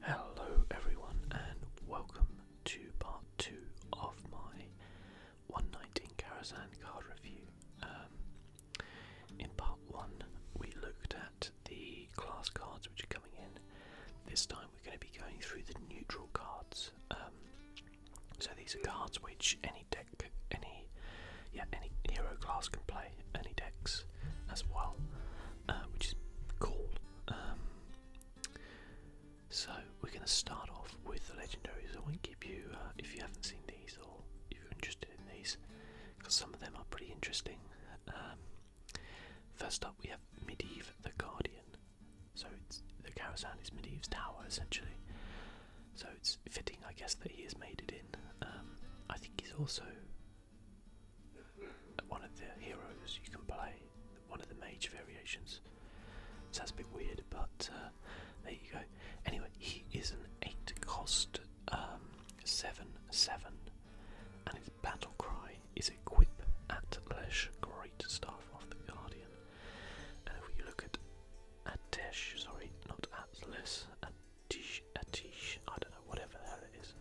Hello, everyone, and welcome to part two of my 119 Karazhan card review. Um, in part one, we looked at the class cards which are coming in. This time, we're going to be going through the neutral cards. Um, so these are cards which any deck, any yeah, any hero class can play, any decks as well, uh, which is cool. Um, so we're going to start off with the legendaries. I won't give you uh, if you haven't seen these or if you're interested in these, because some of them are pretty interesting. Um, first up, we have Medivh the Guardian. So it's the Karazhan is Medivh's tower essentially. So it's fitting, I guess, that he has made it in. Um, I think he's also one of the heroes you can play, one of the mage variations. Sounds a bit weird, but uh, there you go. Anyway, he is an 8 cost 7-7, um, and his battle cry is equip at Lesh, Great Staff of the Guardian. And if you look at Atesh, sorry, not Atlas, Atish, Atish, I don't whatever the hell it is.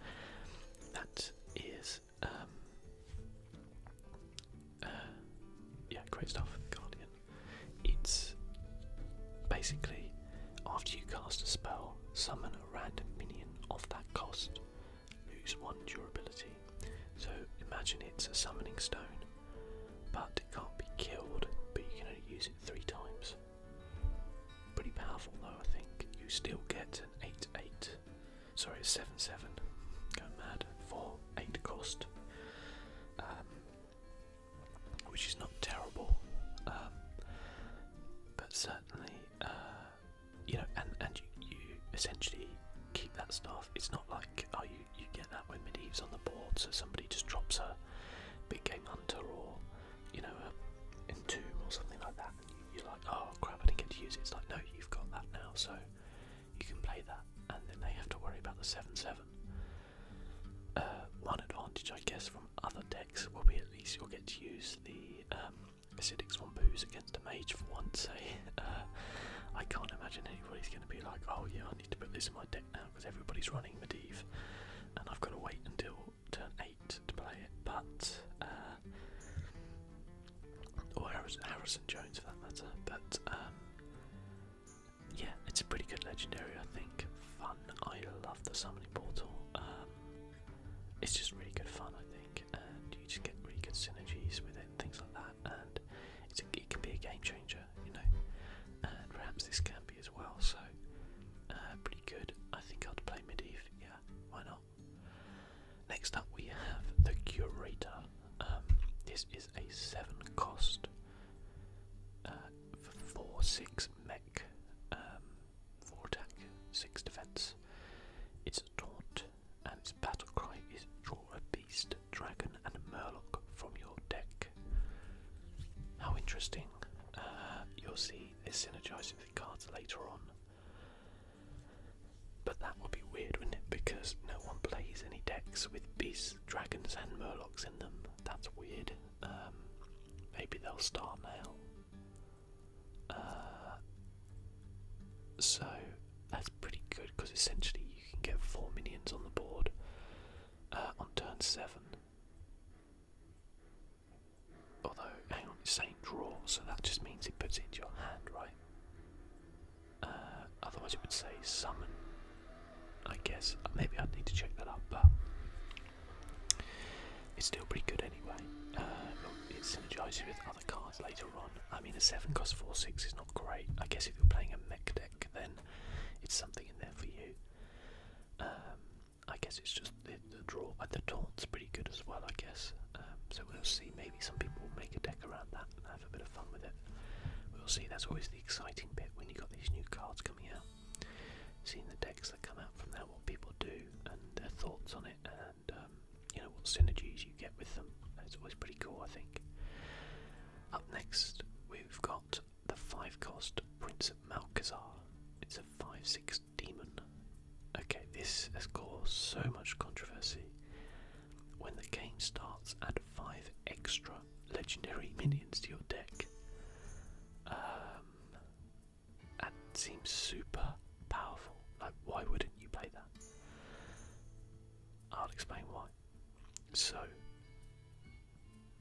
That is, um, uh, yeah, great stuff, Guardian. It's basically after you cast a spell, summon a random minion of that cost, lose one durability. So imagine it's a summoning stone, but it can't be killed, but you can only use it three times. Pretty powerful though, I think. You still get an 8-8. Sorry, 7-7. Going mad. For 8 cost. Um, which is not terrible. Um, but certainly, uh, you know, and, you, essentially keep that stuff. It's not like, oh, you, you get that when Medivh's on the board, so somebody just drops a big game hunter or you know, a Entomb or something like that, you're like, oh crap, I didn't get to use it. It's like, no, you've got that now, so you can play that, and then they have to worry about the 7 7. Uh, one advantage, I guess, from other decks will be at least you'll get to use the um, acidic swampoos against a mage for once. Eh? Uh, I can't imagine anybody's going to be like, oh yeah, I need to put this in my deck now because everybody's running Medivh, and I've got to wait until turn 8 to play it, but. Uh, or Harrison Jones for that matter, but um, yeah, it's a pretty good legendary, I think. Fun, I love the summoning portal. Um, it's just really good fun, I think, and you just get really good synergies with it, things like that, and it can be a game changer, you know. And perhaps this can be as well, so uh, pretty good. I think I'd play Medivh, yeah, why not? Next up, we have the Curator. Um, this is a seven cost uh, four six mech, um, four attack, six defense. It's a taunt, and its battle cry is draw a beast, dragon, and a murloc from your deck. How interesting! Uh, you'll see this synergizes with cards later on. But that would be weird, wouldn't it? Because no one plays any decks with beasts, dragons, and murlocs in them. That's weird. Um, maybe they'll start now. Uh, so that's pretty good because essentially you can get four minions on the board uh, on turn seven. Although, it's saying draw, so that just means it puts it into your hand, right? Uh, otherwise, it would say summon. I guess uh, maybe I'd need to check that up, but it's still pretty good anyway. Uh, it synergizes with other cards later on. I mean, the 7 cost 4 6 is not great. I guess if you're playing a mech deck, then it's something in there for you. Um, I guess it's just the draw, uh, the taunt's pretty good as well, I guess. Um, so we'll see. Maybe some people will make a deck around that and have a bit of fun with it. We'll see. That's always the exciting bit when you got these new cards coming out. Seeing the decks that come out from that, what people do and their thoughts on it, and um, you know what synergies you get with them. It's always pretty cool, I think. Up next, we've got the five-cost Prince of Malkazar. It's a 5-6 demon. Okay, this has caused so much controversy. When the game starts, add five extra legendary minions to your deck. Um, that seems super powerful. Like, why wouldn't you play that? I'll explain why. So,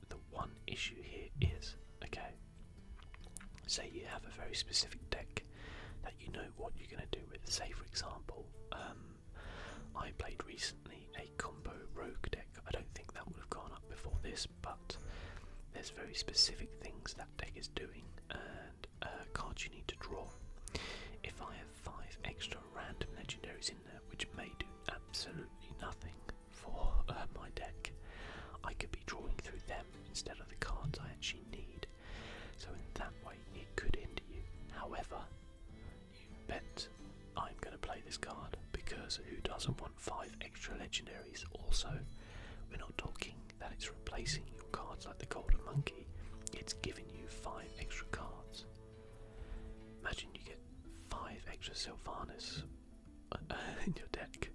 the one issue here is okay, Say you have a very specific deck that you know what you're going to do with. Say, for example, um, I played recently a combo rogue deck. I don't think that would have gone up before this, but there's very specific things that deck is doing and uh, cards you need to draw. If I have five extra random legendaries in there, which may do absolutely nothing for uh, my deck, I could be drawing through them instead of the cards I actually need. So in that way, it could hinder you. However, you bet I'm going to play this card because who doesn't want five extra legendaries? Also, we're not talking that it's replacing your cards like the Golden Monkey, it's giving you five extra cards. Imagine you get five extra Sylvanas uh, in your deck,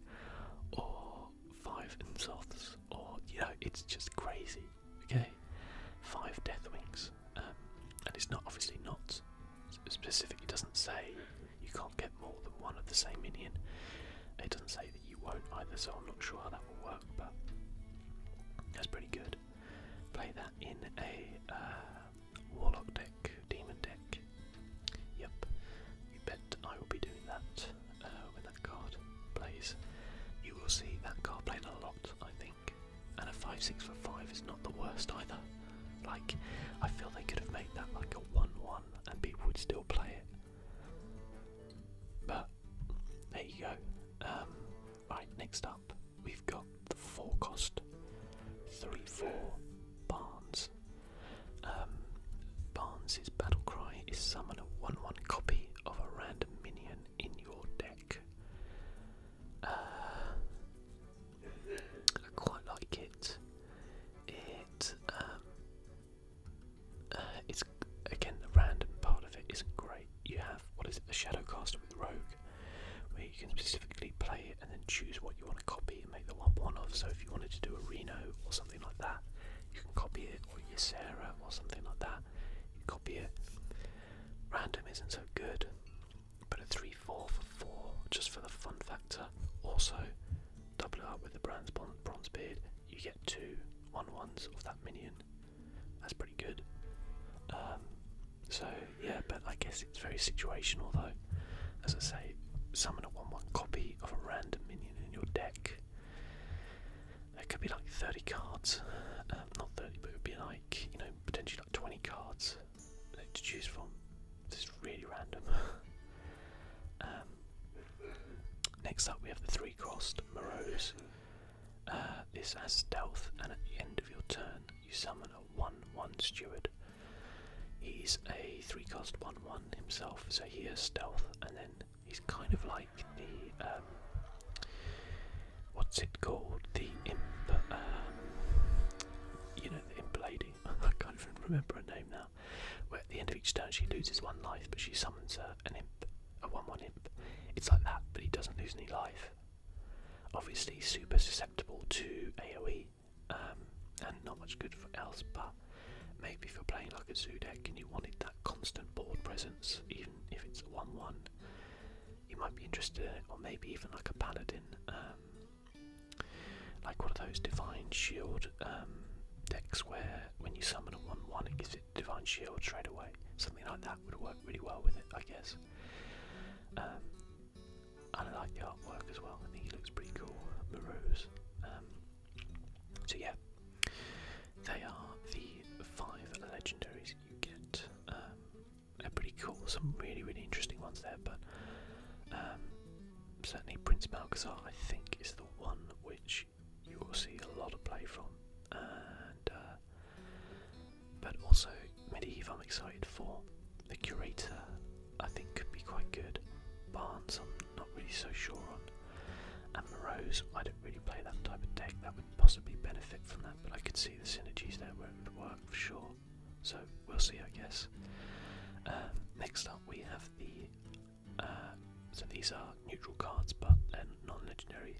or five insults, or you know, it's just crazy. Okay, five Deathwings, um, and it's not obviously not specifically doesn't say you can't get more than one of the same minion. It doesn't say that you won't either, so I'm not sure how that will work, but that's pretty good. Play that in a uh, warlock deck, demon deck. Yep, you bet I will be doing that. Uh, when that card plays, you will see that card playing a lot, I think. And a 5 6 5 is not the worst either. Like, I feel they could have made that like a 1 1 and people would still play it. But, there you go. Um, right, next up, we've got the 4 cost 3 4 barns. Um, Barnes' battle cry is summon a 1 1 copy of a random minion in your deck. Uh, I quite like it. It um, uh, it's again the random part of it isn't great. You have what is it, the Shadowcaster with Rogue, where you can specifically play it and then choose what you want to copy and make the one one of. So if you wanted to do a Reno or something like that, you can copy it, or your or something like that. You copy it. Random isn't so good, but a 3 4 for 4 just for the fun factor. Also, double it up with the bronze, beard, you get two one ones of that minion. That's pretty good. Um, so, yeah, but I guess it's very situational though. As I say, summon a 1 1 copy of a random minion in your deck it could be like 30 cards, um, not 30, but it would be like, you know, potentially like 20 cards to choose from. This is really random. Um, next up, we have the three crossed Morose. Uh, this has stealth, and at the end of your turn, you summon a 1 1 steward. He's a 3 cost 1 1 himself, so he has stealth, and then He's kind of like the um, what's it called? The imp, um, you know, the imp lady. I can't even remember her name now. Where at the end of each turn she loses one life, but she summons a, an imp, a one-one imp. It's like that, but he doesn't lose any life. Obviously, super susceptible to AOE um, and not much good for else, but Maybe if you're playing like a zoo deck and you wanted that constant board presence, even if it's 1 1, you might be interested or maybe even like a paladin, um, like one of those divine shield um, decks where when you summon a 1 1, it gives it divine shield straight away. Something like that would work really well with it, I guess. Um, and I like the artwork as well, I think he looks pretty cool. Morose. So yeah, they are the five legendaries you get. Um, they're pretty cool. Some really really interesting ones there, but um, certainly Prince Malcazar I think is the one which you will see a lot of play from, uh, but also Mediev I'm excited for. The Curator I think could be quite good. Barnes not really so sure on. And Morose, I don't really play that type of deck. That would possibly benefit from that, but I could see the synergies there where it would work for sure. So we'll see, I guess. Um, next up, we have the. Uh, so these are neutral cards, but they non-legendary.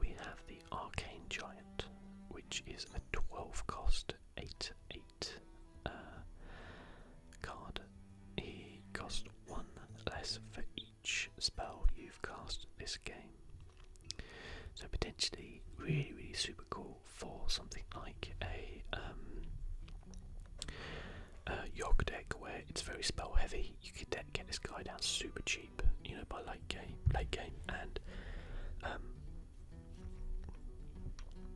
We have the Arcane Giant, which is a 12 cost 8 8 uh, card he costs one less for each spell you've cast this game. So potentially really really super cool for something like a um deck where it's very spell heavy. You can get this guy down super cheap, you know, by late game late game and um,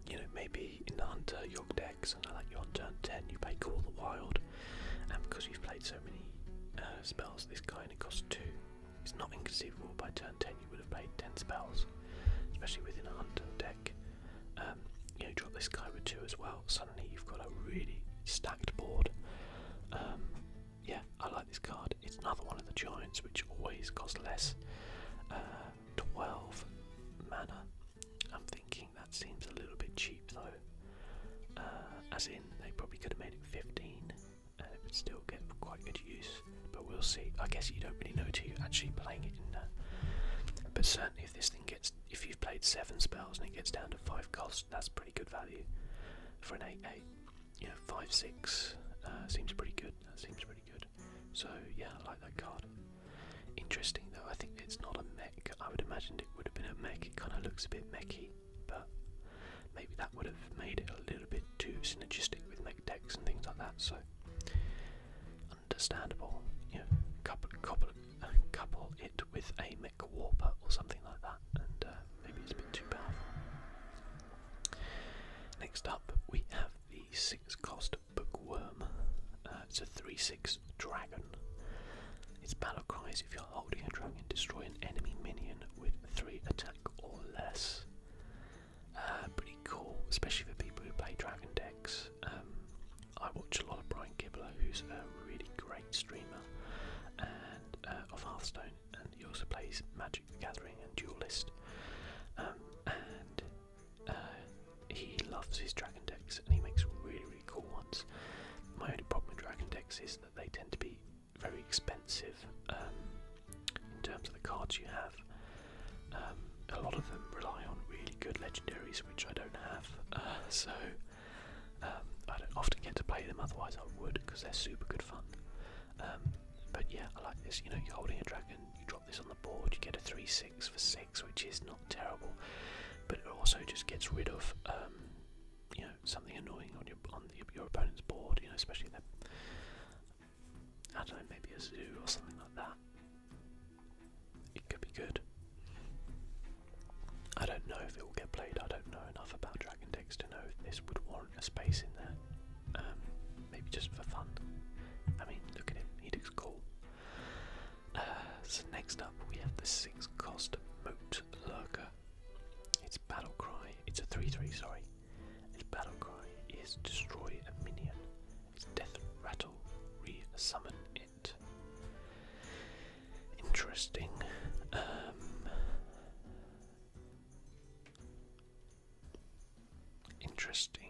you know maybe in the Hunter young decks, and I like you on turn 10, you play Call the Wild, and because you've played so many uh, spells this guy and it costs 2, it's not inconceivable by turn 10 you would have played 10 spells, especially within a Hunter deck. Um, you drop this guy with 2 as well, suddenly you've got a really stacked board. Um, yeah, I like this card. It's another one of the giants which always costs less. Uh, 12 mana. I'm thinking that seems a little bit cheap though. Uh, as in, they probably could have made it 15 and it would still get quite good use, but we'll see. I guess you don't really know till you're actually playing it But certainly, if this thing gets, if you've played seven spells and it gets down to five cost, that's pretty good value for an 8 8. You know, 5 6 uh, seems pretty good. That seems pretty good. So, yeah, I like that card. Interesting though, I think it's not a mech. I would imagine it would have been a mech. It kind of looks a bit mechy, but maybe that would have made it a little bit too synergistic with mech decks and things like that. So understandable. You know, couple, couple, couple it with a mech warper or something like that, and uh, maybe it's a bit too powerful. Next up, we have the six-cost bookworm. Uh, it's a 3-6 Dragon. Its battle cries: if you're holding a dragon, destroy an enemy minion with 3 attack or less. Uh, pretty cool, especially for people who play dragon decks. Um, I watch a lot of Brian Gibbler, who's a really great streamer and uh, of Hearthstone, and he also plays Magic the Gathering and Duelist. Um, uh, he loves his dragon decks and he makes really really cool ones. My only problem with dragon decks is that they tend to be very expensive um, in terms of the cards you have. Um, a lot of them rely on really good legendaries, which I don't have, uh, so um, I don't often get to play them. Otherwise, I would because they're super good fun. but yeah, I like this. You know, you're holding a dragon, you drop this on the board, you get a 3 6 for 6, which is not terrible, but it also just gets rid of um, you know something annoying on your on your opponent's board. You know, especially that I don't know, maybe a zoo or something like that. It could be good. I don't know if it will get played. I don't know enough about Dragon decks to know if this would warrant a space in there. Um, maybe just for fun. I mean, look at him. He looks cool. Uh, so next up we have the six cost Moat Lurker. Its battle cry, it's a 3-3, sorry. Its battle cry is destroy a minion. Its death rattle, re-summon it. Interesting. Um, interesting.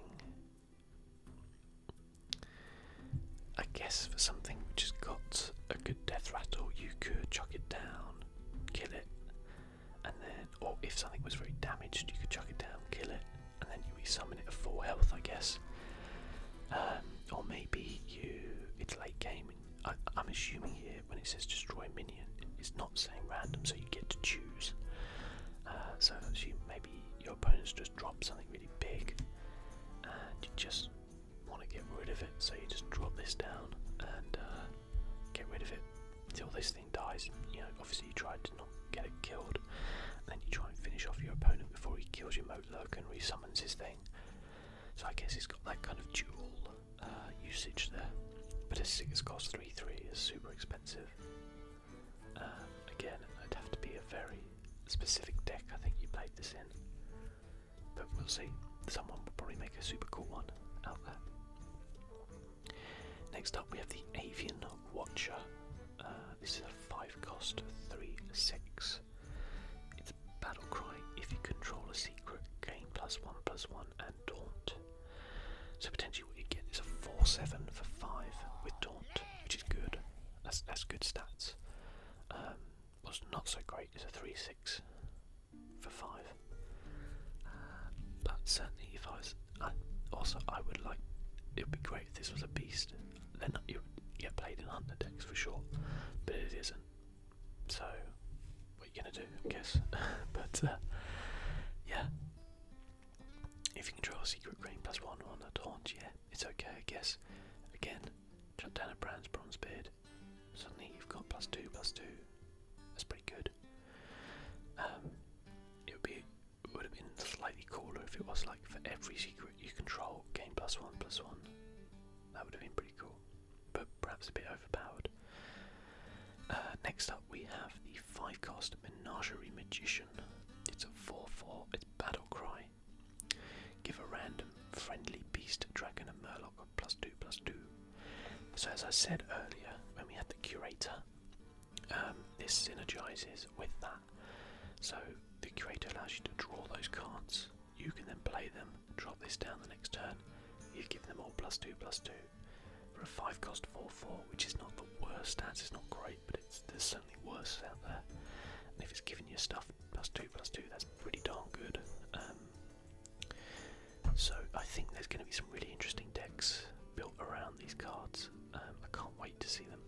I guess for something which has got a good death rattle, you could chuck it down, kill it, and then, or if something was very damaged, you could chuck it down, kill it, and then you resummon it at full health, I guess. Um, or maybe you, it's late game. I, am assuming here when it says destroy minion, it's not saying random, so you get to choose. Uh, so I may. maybe your opponent's just dropped something really big and you just want to get rid of it, so you just drop this down and uh, get rid of it until this thing dies. You know, obviously you try to not get it killed, and then you try and finish off your opponent before he kills your mote lurk and resummons his thing. So I guess he has got that kind of dual uh, usage there. But a 6 cost 3 3 is super expensive. again, it'd have to be a very specific deck I think you played this in. But we'll see. Someone will probably make a super cool one out there. Next up we have the Avian Watcher. Uh, this is a 5 cost 3 6. It's battle cry if you control a secret, gain plus 1 plus 1 and taunt. So potentially what you get is a 4 7 for 5 with taunt, which is good. That's, that's good stats um, was not so great as a 3 6 for 5. Uh, but certainly, if I was. also, I would like. It would be great if this was a beast. Then you would get played in hunter decks for sure, but it isn't. So, what are you gonna do? I guess. but uh, yeah, if you can draw a secret green plus one on a taunt, yeah, it's okay. I guess. Again, Shut down a Brown's Bronzebeard. Suddenly you've got plus two, plus two. That's pretty good. Um, it would be have been slightly cooler if it was like for every secret you control, gain plus one, plus one. That would have been pretty cool, but perhaps a bit overpowered. Uh, next up, we have the five-cost Menagerie Magician. It's a four-four. It's Battle Cry. Give a random friendly beast, dragon, and murloc plus two plus two. So, as I said earlier, when we had the curator, um, this synergizes with that. So, the curator allows you to draw those cards. You can then play them, drop this down the next turn. You give them all plus two plus two for a five cost four four, which is not the worst stats. It's not great but it's there's certainly worse out there. And if it's giving you stuff plus two plus two, that's pretty darn good. Um, so I think there's going to be some really interesting decks built around these cards. Um, I can't wait to see them.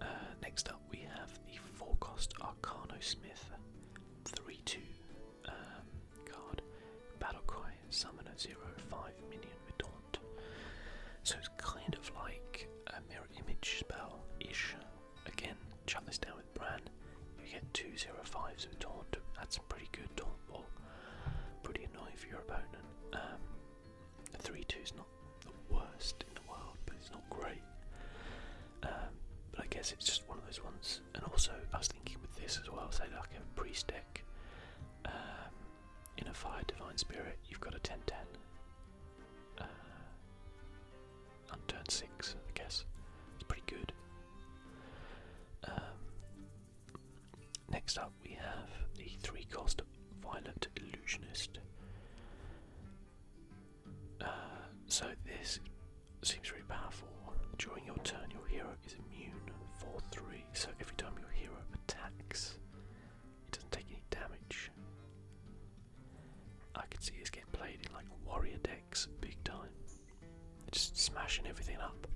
Uh, next up, we have the four cost Arcano Smith 3 2 um, card. Battlecry Summoner 0 Minion Retaunt. So kind of like a mirror image spell ish. Again, chop this down with Bran. You get 205s of taunt. That's pretty good taunt ball. Pretty annoying for your opponent. Um, 3 2 is not the worst in the world, but it's not great. Um, but I guess it's just one of those ones. And also, I was thinking with this as well, say like a priest deck. Um, in a fire divine spirit, you've got a 10 10. Uh, on turn six, I guess. It's pretty good. Um, next up, we have the three cost Violent Illusionist. Uh, so, this seems really powerful. During your turn, your hero is immune 4 3, so every time your hero attacks, it doesn't take any damage. I could see this getting played in like warrior decks big time. Just smashing everything up.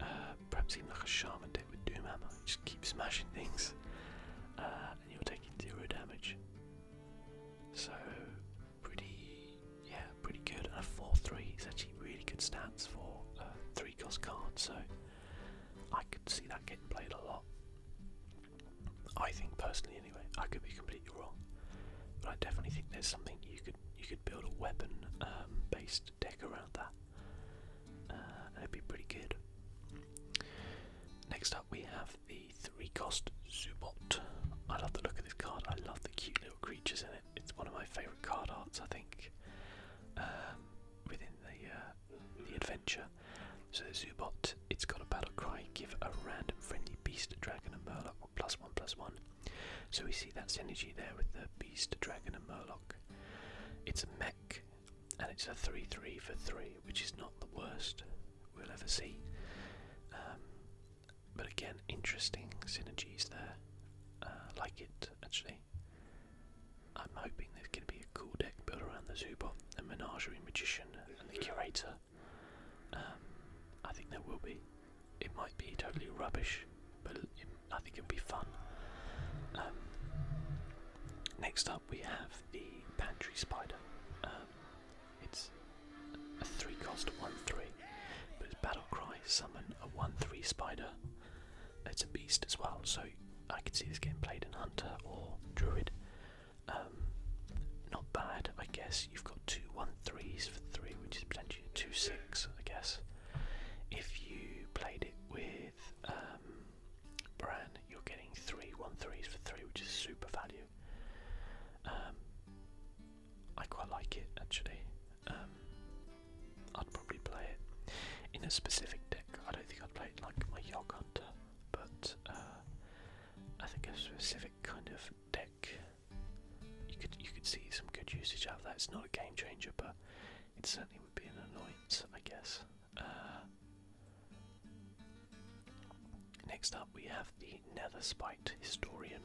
Uh, perhaps even like a shaman deck with Doomhammer. just keep smashing things uh, and you're taking zero damage. So, pretty, yeah, pretty good. And a 4-3 is actually really good stats for uh, 3 cost cards. so I could see that getting played a lot. I think personally, anyway, I could be completely wrong, but I definitely think there's something you could you could build a weapon-based um, deck around that. Uh, that would be pretty good. Next up, we have the three-cost Zubot. I love the look of this card. I love the cute little creatures in it. It's one of my favourite card arts, I think, um, within the uh, the adventure. So the Zubat, it's got a battle cry, give a random friendly beast, dragon and murloc plus one plus one. So we see that synergy there with the beast, dragon and murloc. It's a mech and it's a 3-3 for 3, which is not the worst we'll ever see. Um, but again, interesting synergies there. Uh, like it, actually. I'm hoping there's going to be a cool deck built around the Zubat, the Menagerie Magician, and the Curator. Um, I think there will be. It might be totally rubbish, but I think it'll be fun. Um, next up, we have the Pantry Spider. Um, it's a 3 cost 1 3, but it's Battle Cry, Summon a 1 3 Spider. It's a beast as well, so I could see this game played in Hunter or Druid. Um, not bad, I guess. You've got two one threes for three, which is potentially two six, I guess. If you played it with um, Bran, you're getting three one threes for three, which is super value. Um, I quite like it actually. Um, I'd probably play it in a specific deck. I don't think I'd play it like my Yog but uh, I think a specific kind of deck you could you could see some good usage out of that. It's not a game changer, but it certainly would be an annoyance, I guess. Uh, next up, we have the Nether Spite Historian,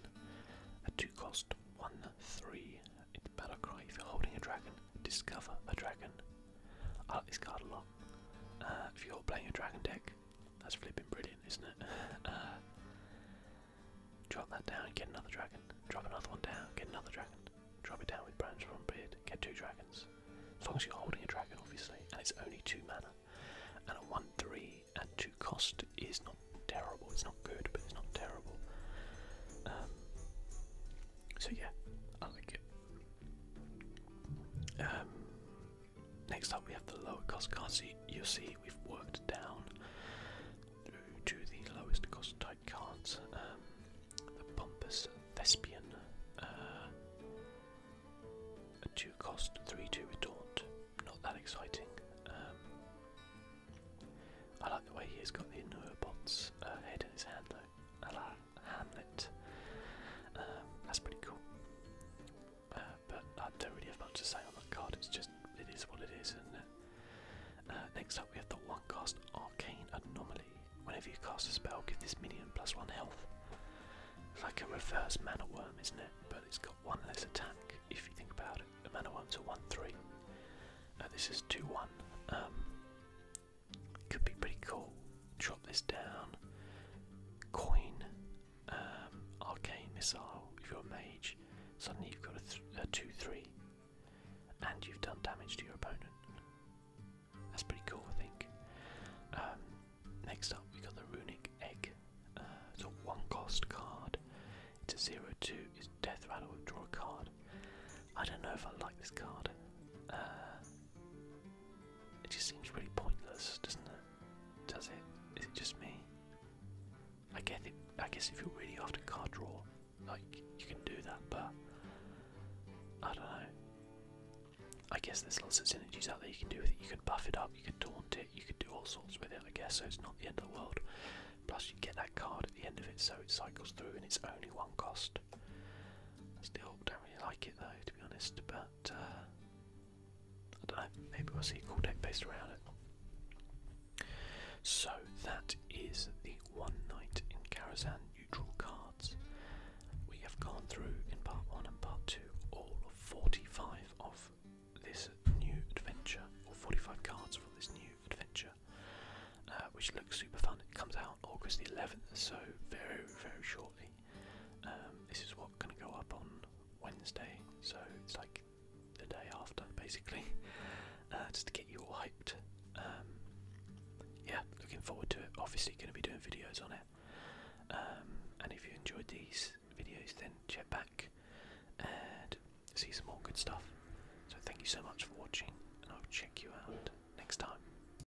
a two-cost one-three. It's battle cry if you're holding a dragon discover a dragon. I like this card a lot. Uh, if you're playing a dragon deck, that's flipping brilliant, isn't it? Uh, drop that down, get another dragon. Drop another one down, get another dragon. Drop it down with Branch from Beard, get two dragons. As long as you're holding a dragon, obviously, and it's only two mana. And a 1 3 at 2 cost is not terrible. It's not good, but it's not terrible. Um, so, yeah, I like it. Um, next up, we have the lower cost car seat. You see, we've worked down to the lowest cost type cards. Um, the pompous thespian, uh, a two cost three two retort. Not that exciting. Um, I like the way he's got the Neurobots bots ahead uh, in his hand though. I Hamlet. Um, that's pretty cool. Uh, but I don't really have much to say on that card, it's just, it is what it is, uh, next up we have the 1 cast Arcane Anomaly. Whenever you cast a spell, give this minion plus 1 health. It's like a reverse mana worm, isn't it? But it's got 1 less attack, if you think about it. The mana worm's a 1-3. Uh, this is 2-1. Could be pretty cool. Drop this down. Coin, um, arcane missile. If you're a mage, suddenly you've got a, two-three, and you've done damage to your opponent. That's pretty cool, I think. Um, next up, we have got the runic egg. Uh, it's a one-cost card. It's a zero-two. It's death rattle. Draw a card. I don't know if I like this card. Uh, it just seems really pointless, doesn't it? Does it? Is it just me? I guess if you're really after card draw, like you can do that, but I don't know. I guess there's lots of synergies out there you can do with it. You can buff it up, you can taunt it, you can do all sorts with it. I guess so. It's not the end of the world. Plus, you get that card at the end of it, so it cycles through, and it's only one cost. I still don't really like it though, to be honest, but uh, I don't know, maybe we'll see cool deck based around it. So that is the One Night in Karazhan neutral cards. We have gone through in part 1 and part 2 all 45 of this new adventure, or 45 cards for this new adventure, uh, which looks super fun. It comes out August the 11th, so very, very shortly. Um, this is what's going to go up on Wednesday, so it's like the day after, basically, uh, just to get you all hyped. Um, yeah, looking forward to it. Obviously, going to be doing videos on it. Um, and if you enjoyed these videos, then check back and see some more good stuff. So, thank you so much for watching, and I'll check you out next time.